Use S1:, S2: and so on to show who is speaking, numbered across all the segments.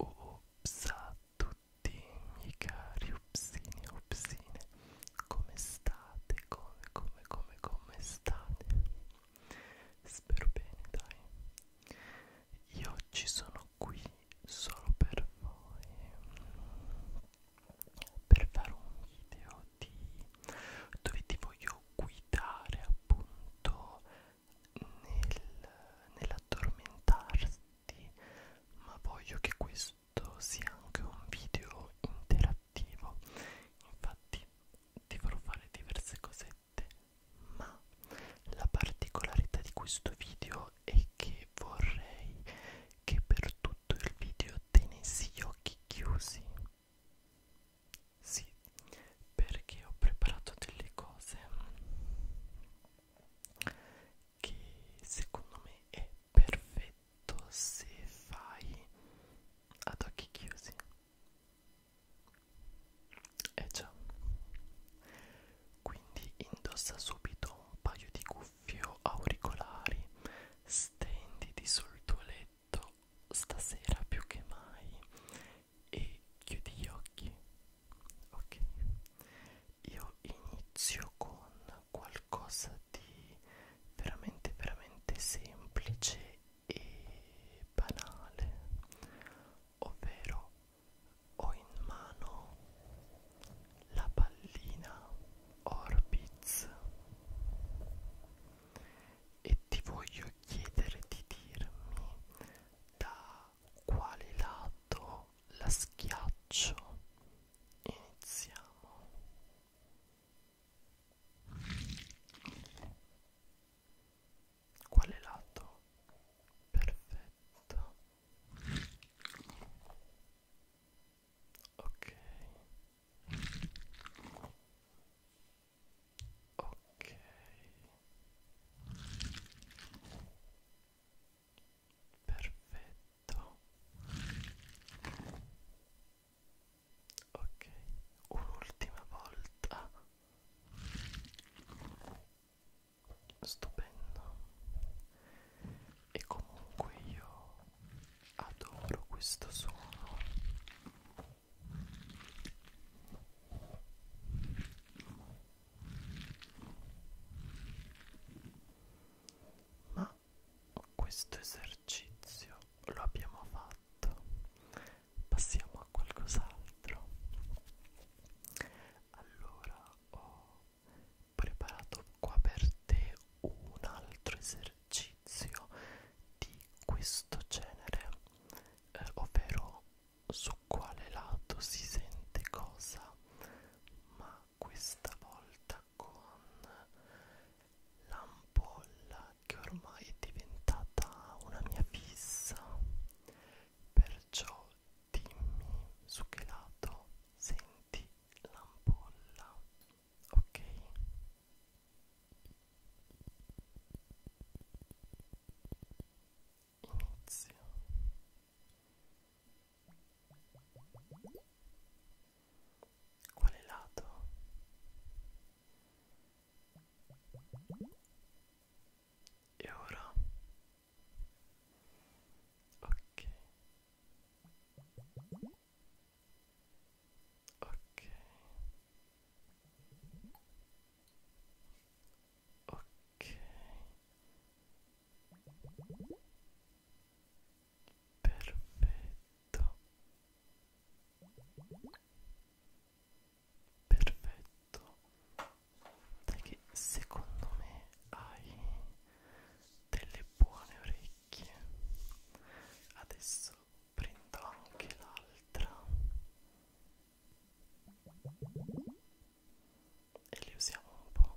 S1: Ups a tutti i cari upsini upsine Come state? Come, come, come, come state? Spero bene, dai Io oggi sono qui solo per voi per fare un video di dove ti voglio guidare appunto nel, nell'addormentarti ma voglio che questo sia anche un video interattivo infatti ti farò fare diverse cosette ma la particolarità di questo video è che vorrei che per tutto il video tenessi gli occhi chiusi sì perché ho preparato delle cose che secondo me è perfetto se fai ad occhi chiusi eh già quindi indossa subito un paio di cuffie o auricolari Stenditi sul tuo letto stasera più che mai e chiudi gli occhi. Ok. Io inizio con qualcosa di veramente veramente semplice e banale. Ovvero ho in mano la pallina Orbiz e ti voglio chiedere di dirmi da quale lato la schiaccio iniziamo quale lato perfetto ok ok perfetto ok un'ultima volta stupendo e comunque io adoro questo suono ma questo esercizio lo abbiamo fatto passiamo a qualcos'altro allora ho preparato qua per te un altro esercizio esercizio di questo genere, eh, ovvero su quale lato si sente cosa, ma questa volta con l'ampolla che ormai è diventata una mia fissa, perciò dimmi su che lato senti l'ampolla ok inizio quale lato? E ora? Ok ok ok perfetto perfetto dai che secondo me hai delle buone orecchie adesso prendo anche l'altra e li usiamo un po'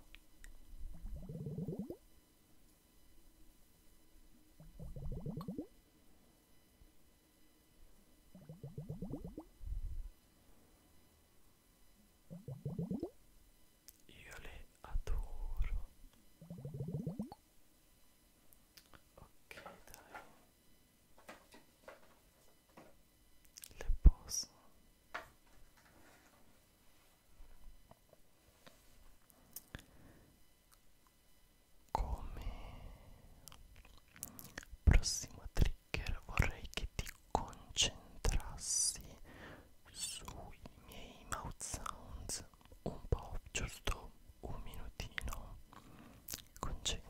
S1: io le adoro ok dai le posso come prossimo trigger vorrei che ti concentrassi sui miei mouth sounds relax un po', giusto un minutino, concentrati.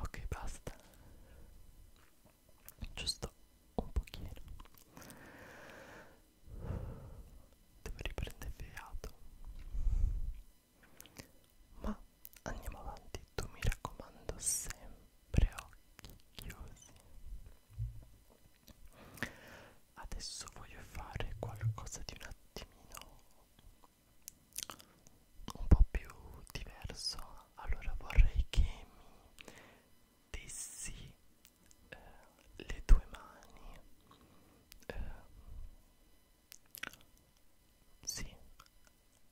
S1: Ok, basta. Giusto un pochino dove riprende fiato ma andiamo avanti tu mi raccomando sempre occhi chiusi adesso voglio fare qualcosa di un attimino un po' più diverso allora vorrei che mi dessi eh, le tue mani eh, sì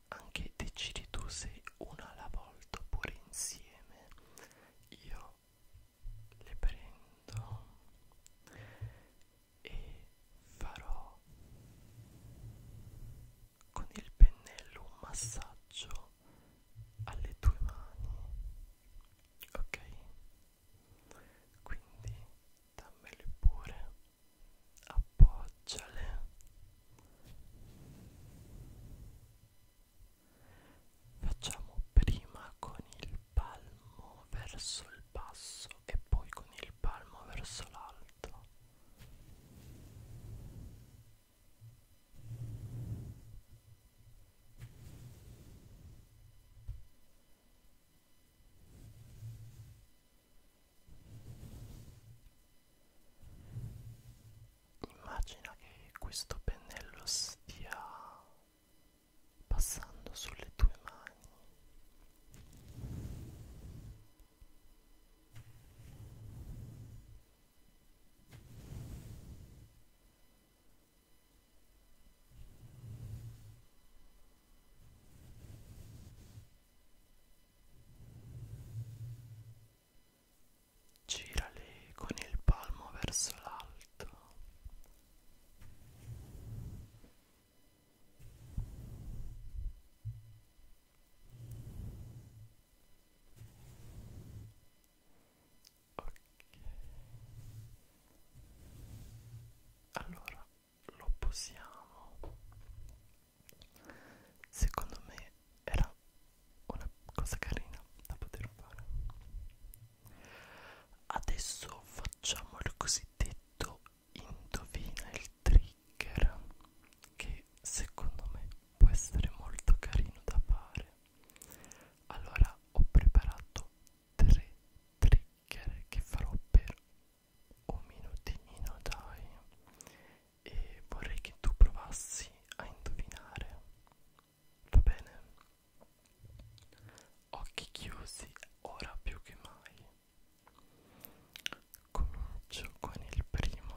S1: anche decidi tu se una alla volta oppure insieme io le prendo e farò con il pennello un massaggio alle tue mani ok quindi dammele pure appoggiale facciamo prima con il palmo verso il basso e poi con il palmo verso l'alto Immagina che questo pennello stia passando sulle tue mani. Girali con il palmo verso l'alto ok allora lo possiamo secondo me era una cosa carina da poter fare adesso facciamo il cosiddetto indovina il trigger che secondo me può essere molto carino da fare allora ho preparato tre trigger che farò per un minutinino dai e vorrei che tu provassi a indovinare va bene occhi chiusi ora più che mai comincio con il primo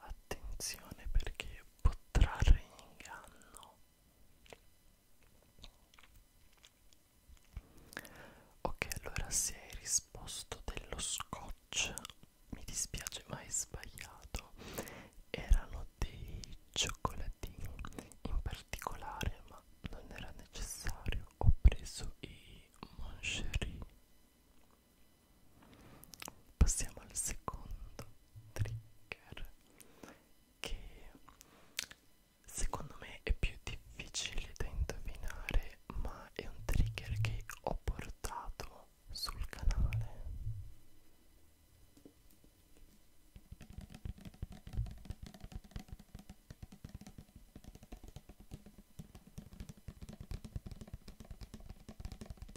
S1: attenzione perché può trarre in inganno ok allora se hai risposto dello scotch mi dispiace ma hai sbagliato erano dei cioccolatini in particolare ma non era necessario ho preso i moncherie passiamo al secondo trigger che secondo me è più difficile da indovinare ma è un trigger che ho portato sul canale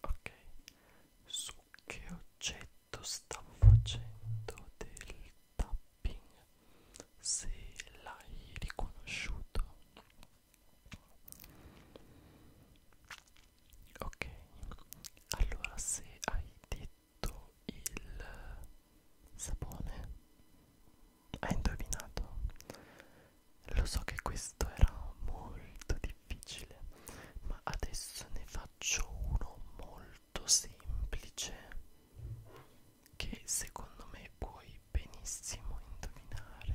S1: Ok, su che oggetto stavo facendo del tapping? Se l'hai riconosciuto ok allora se hai detto il sapone hai indovinato lo so che questo era molto difficile ma adesso ne faccio uno molto semplice che secondo me puoi benissimo indovinare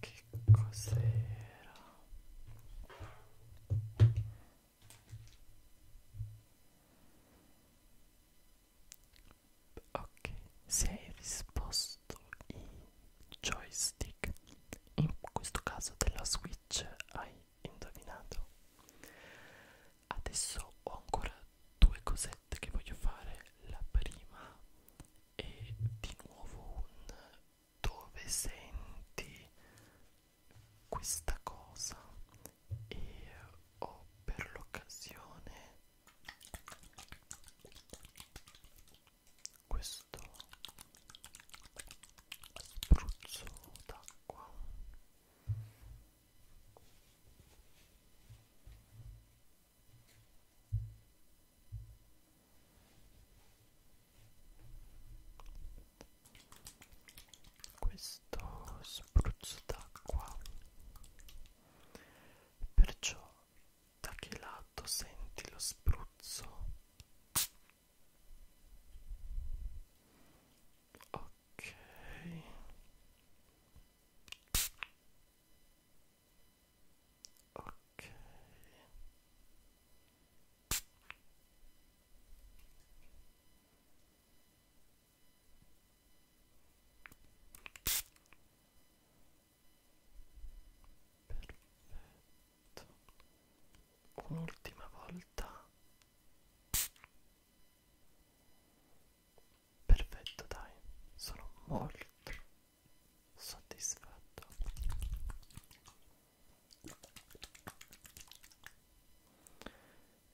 S1: Che cos'era? Ok, se hai risposto i joystick, in questo caso della Switch, hai indovinato. Adesso ho ancora due cose set che voglio fare la prima è di nuovo un dove senti questa cosa e ho per l'occasione questo spruzzo d'acqua questo spruzzo d'acqua perciò da che lato senti lo spruzzo ok ok perfetto un'ultima volta Perfetto, dai, sono molto soddisfatto.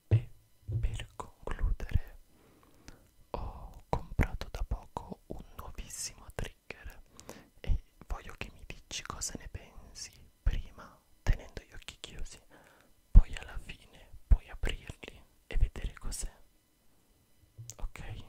S1: E per concludere ho comprato da poco un nuovissimo trigger e voglio che mi dici cosa ne pensi prima tenendo gli occhi chiusi, poi alla fine puoi aprirli e vedere cos'è ok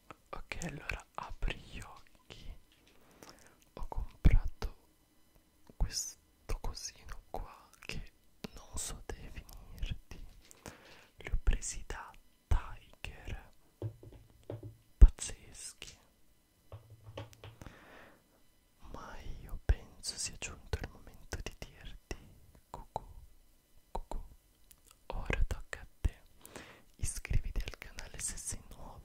S1: ok allora apri gli occhi ho comprato questo cosino qua che non so definirti li ho presi da Tiger pazzeschi ma io penso sia giunto il momento di dirti cucù cucù ora tocca a te iscriviti al canale se sei nuovo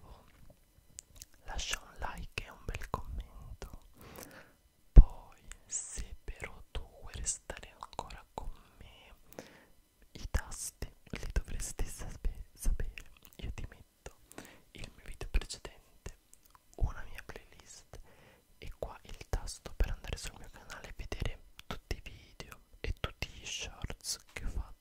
S1: lascia un like e un bel commento poi se però tu vuoi restare ancora con me i tasti li dovresti sape sapere io ti metto il mio video precedente una mia playlist e qua il tasto per andare sul mio canale e vedere tutti i video e tutti gli shorts che ho fatto